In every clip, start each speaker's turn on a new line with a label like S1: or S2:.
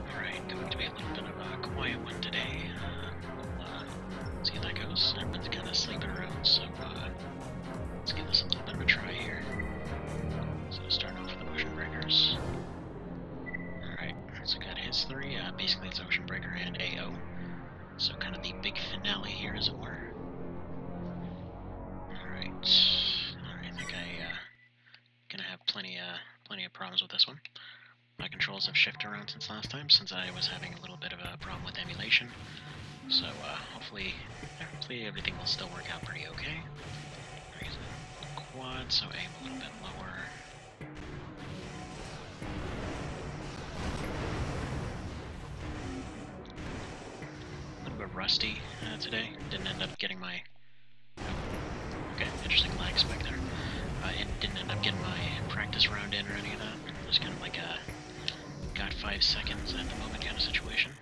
S1: Alright, going to be a little bit of a quiet one today. Uh, see that goes. Everyone's kind of sleeping around, so uh, let's give this a little bit of a try here. So start off with the Ocean Breakers. Alright, so got his three. Uh, basically, it's Ocean Breaker and AO. So kind of the big finale here, as it were. Alright. Alright, I think I uh, Gonna have plenty, uh, plenty of problems with this one. My controls have shifted around since last time, since I was having a little bit of a problem with emulation. So, uh, hopefully, hopefully everything will still work out pretty okay. Quad, so aim a little bit lower. A little bit rusty uh, today. Didn't end up getting my Okay, interesting lag spike there. Uh, I didn't end up getting my practice round in or any of that. It was kind of like a got five seconds at the moment kind of situation.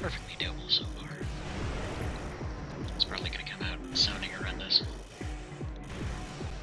S1: Perfectly doable so far. It's probably gonna come out sounding horrendous.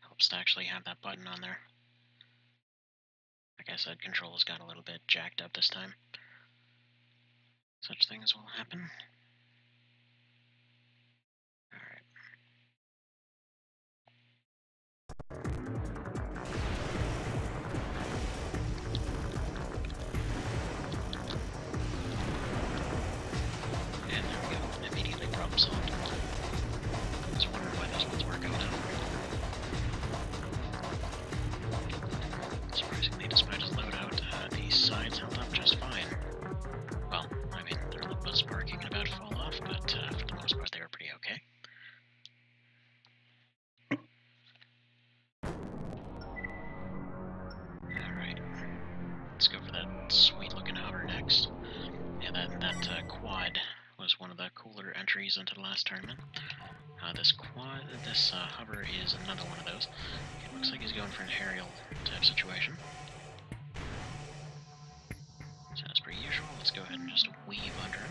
S1: Helps to actually have that button on there. Like I said, controls got a little bit jacked up this time. Such things will happen. And there we go, immediately problem solved. I why those ones were Surprisingly, despite his loadout, uh, the sides held up just fine. Well, I mean, their lip was sparking and about to fall off, but uh, for the most part they were pretty okay. Alright. Let's go for that sweet looking hover next. Yeah, that, that uh, quad was one of the cooler entries into the last tournament. Uh, this quad, this uh, hover is another one of those. looks like he's going for an aerial type situation. So as per usual, let's go ahead and just weave under him.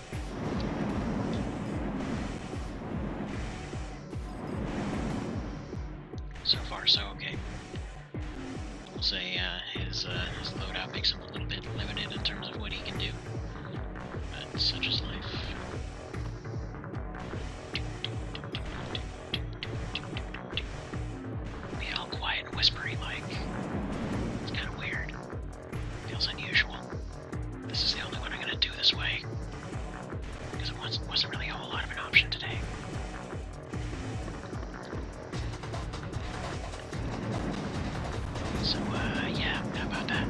S1: So far, so okay. We'll say uh, his, uh, his loadout makes him a little bit limited in terms of what he can do. But such is life. Be all quiet and whispery like. It's kind of weird. Feels unusual. This is the only one I'm gonna do this way. Because it wasn't, really a whole lot of an option today. So, uh, yeah, how about that?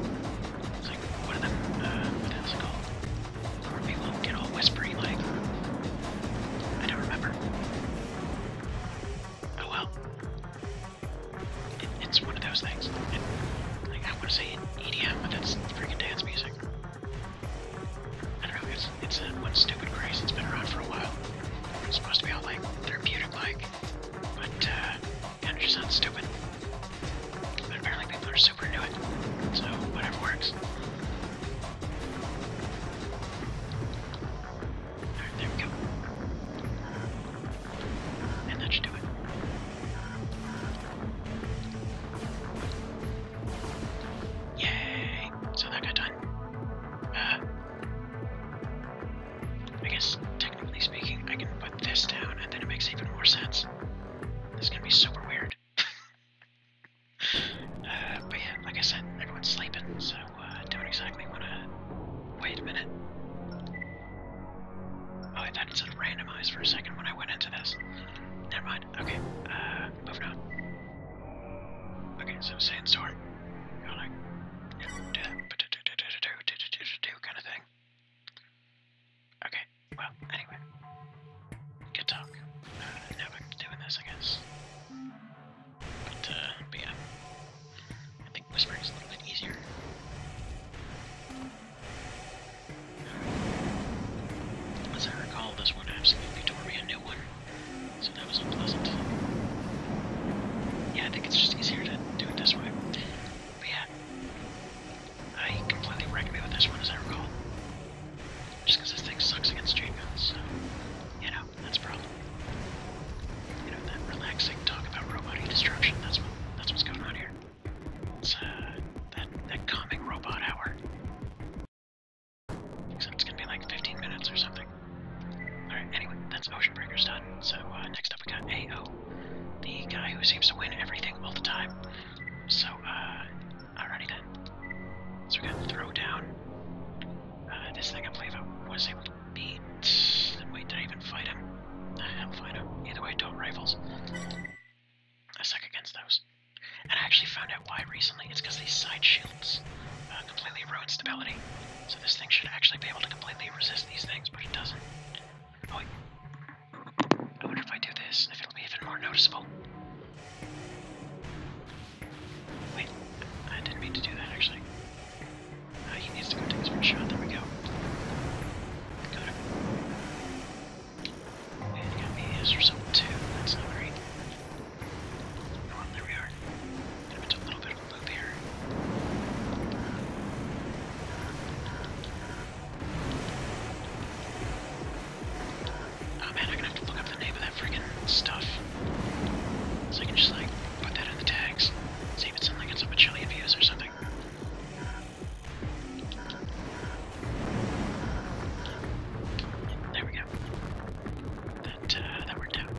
S1: It's like, what are them, uh, what is it called? Where people get all whispery, like... I don't remember. Oh well it's one of those things. It, like, I want to say EDM, but that's freaking dance music. I don't know, it's, it's a, one stupid craze it has been around for a while. It's supposed to be all, like, therapeutic-like, but, uh, kind of stupid. But apparently people are super into it, so whatever works there we go. And that should do it. Yay! So that got done. Uh, I guess, technically speaking, I can put this down and then it makes even more sense. This is gonna be super weird. Uh, but yeah, like I said, everyone's sleeping, so... Uh, don't exactly want to... Wait a minute. Oh, I thought it said randomized for a second when I went into this. Never mind. Okay, uh, moving on. Okay, so sandstorm. You're like, you do do do do do do do do do do kind of thing. Okay, well, anyway. Good talk. Uh, I'm doing this, I but, uh, but yeah. I think whispering is a little bit easier. As I recall, this one absolutely tore me a new one. So that was unpleasant. Yeah, I think it's just easier to do it this way. But yeah. I completely wrecked me with this one, as I recall. Just this thing sucks against chain you know that's a problem. You know, that relaxing talk about robotic destruction, that's what that's what's going on here. It's uh that that calming robot hour. Except it's gonna be like 15 minutes or something. Alright, anyway, that's Ocean Breakers done. So uh, next up we got AO, the guy who seems to win everything all the time. So, uh, alrighty then. So we got Throwdown. Uh, this thing I believe I was able to Beat. Wait, did I even fight him? I do fight him. Either way, don't rifles. I suck against those. And I actually found out why recently. It's because these side shields uh, completely ruin stability. So this thing should actually be able to completely resist these things, but it doesn't. Oh, wait. I wonder if I do this, if it'll be even more noticeable. Wait, I didn't mean to do that, actually. Ah, he needs to go take his first shot. There we go. Got him. And got me his result too. That's not great. there we are. Gonna do a little bit of a loop here. Oh man, I'm gonna have to look up the name freaking stuff. So I can just like put that in the tags. Save it something like it's a Machilian views or something. There we go. That uh, that worked out.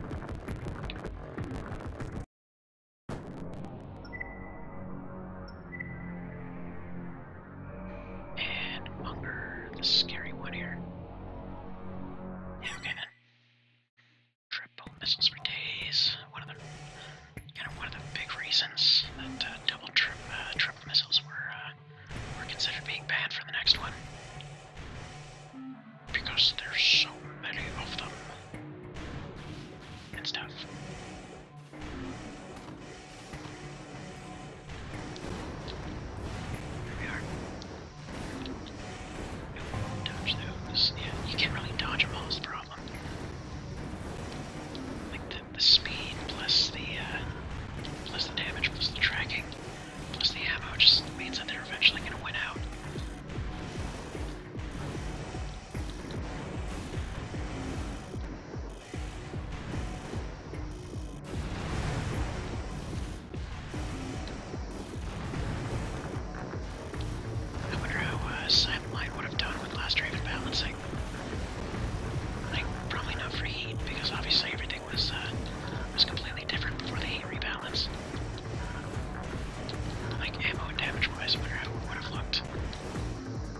S1: And Munger, the scary one here. okay Triple missiles for days. One of the kind of one of the big reasons that uh, double trip uh, triple missiles were uh, were considered being banned for the next one because there's so many of them and tough. There we are you can't really dodge them all, the problem. Like the, the speed plus the uh, plus the damage plus the tracking plus the ammo just means that they're eventually gonna win out. I wonder how uh, Samlight would have done with Last Raven balancing. Like, probably not for heat, because obviously everything was, uh, was completely different before the heat rebalance. Like, ammo and damage-wise, wonder how it would have looked.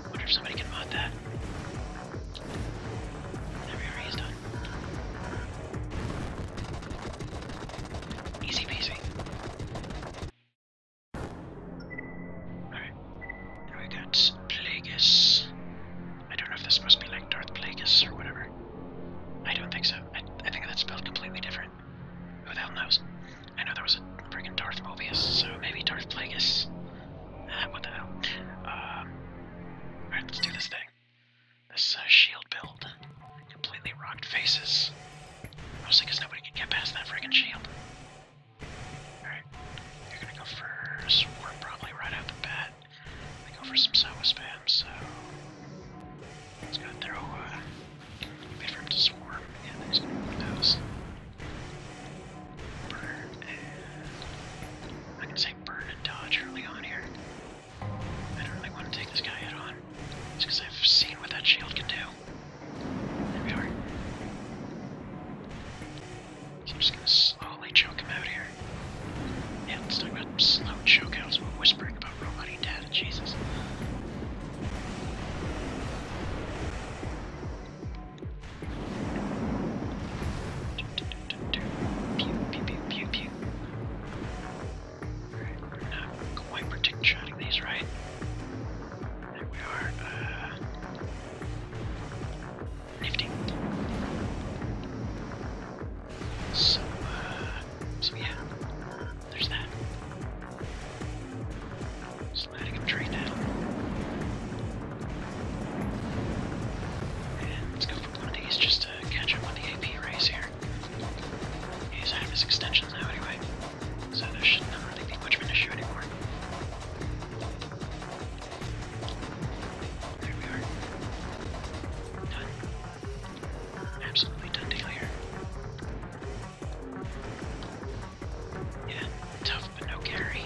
S1: wonder if somebody can mod that. There we are, done. Easy peasy. Alright. Alright, that's Plagueis. I don't know if this must be like Darth Plagueis or whatever. I don't think so. I, think that's spelled completely different. Who the hell knows? I know there was a freaking Darth Mobius, so maybe Darth Plagueis. Uh, what the hell. Um, alright, let's do this thing. This uh, shield build completely rocked faces. Mostly because nobody could get past that friggin' shield. Alright, you're gonna go for Swarm probably right out the bat. They go for some Sawa spam, so... He's gonna throw, uh... Wait for him to Swarm, and then he's Burn and... I can say burn and dodge early on here. I don't really want to take this guy head on. It's because I've seen what that shield can do. There we are. I'm just gonna slowly choke him out here. Yeah, let's talk about slow chokeouts while whispering about dad data, Jesus we're not quite particularly these right. There we are. Uh, So, so yeah, there's that. Just letting him train now. let's go. I think he's just to catch up on the AP rays here. He's out of his extensions now anyway, so there should not really be much of an issue anymore. There are. Done. Absolutely done deal here. Yeah, tough but no carry.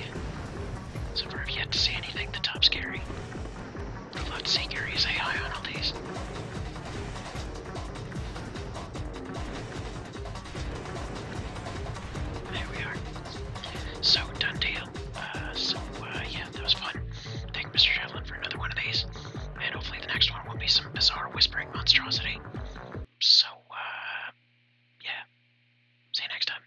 S1: So far I've yet see anything the top's carry. Remote Seeker is AI on all these. There we are. So, done deal. Uh, so, uh, yeah, that was fun. Thank Mr. Javelin for another one of these. And hopefully the next one will be some bizarre whispering monstrosity. So, uh, yeah. See you next time.